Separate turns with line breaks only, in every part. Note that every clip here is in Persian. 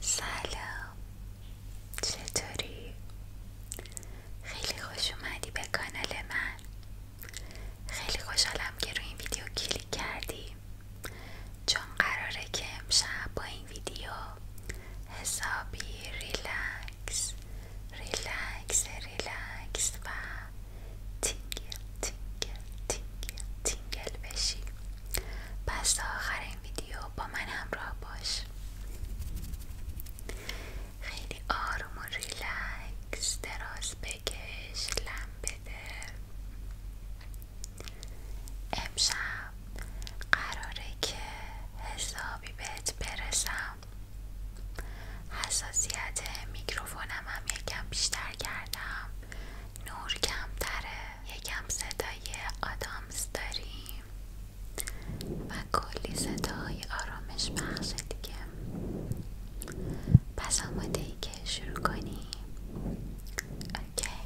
سلام چطوری؟ خیلی خوش اومدی به کانال من خیلی خوشحالم که روی این ویدیو کلیک کردی چون قراره که امشب با این ویدیو حسابی ریلکس ریلکس ریلکس و تینگل تینگل تینگل تینگل بشی پس تا آخر این ویدیو با من همراه باش خیلی آروم و ریلکس دراز بکش لم بده امشب قراره که حسابی بهت برسم حساسیت میکروفونم هم یکم بیشتر کردم نور کمتره یکم صدای آدامز داریم و کلی صدای آرامش بخشه دیگه پس آماده که شروع کنی اوکی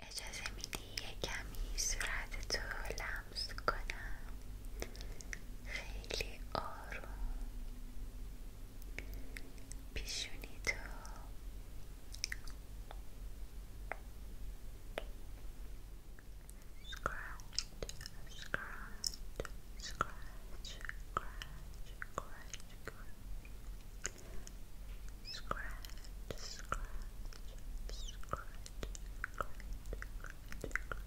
اجازه میدی کمی صورت تو لمس کنم خیلی آروم 비슈니도 scratch, scratch, scratch, scratch, scratch, scratch, scratch, scratch, scratch, scratch, scratch, scratch, scratch,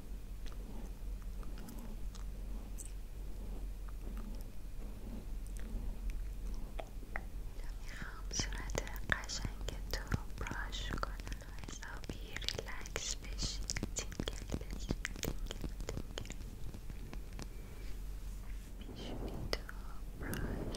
میخوام صورت قشنگ تو براش کنم و حسابی ریلکس بشی تینگل بشی تینگل تینگل تو براش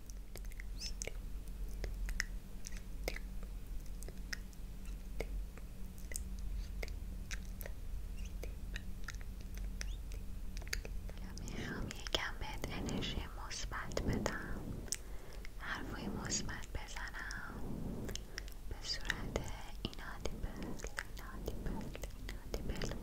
میخوام یکم بهت انرژی مثبت بدم حرفوی مثبت بزنم به صورت اینادیبل اینادیبل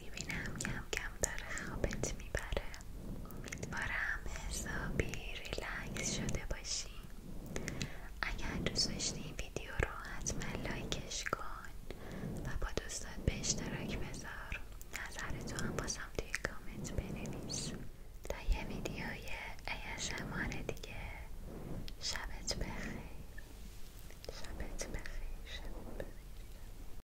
میبینم کم کم داره خوابت میبره امیدوارم حسابی ریلکس شده باشی اگر دوست داشتی این ویدیو رو حتما لایکش کن و با دوستات به اشتراک بذار نظرتو هم بازم توی کامنت بنویس تا یه ویدیوی ASMR دیگه شبت بخیر شبت بخیر شبت بخیر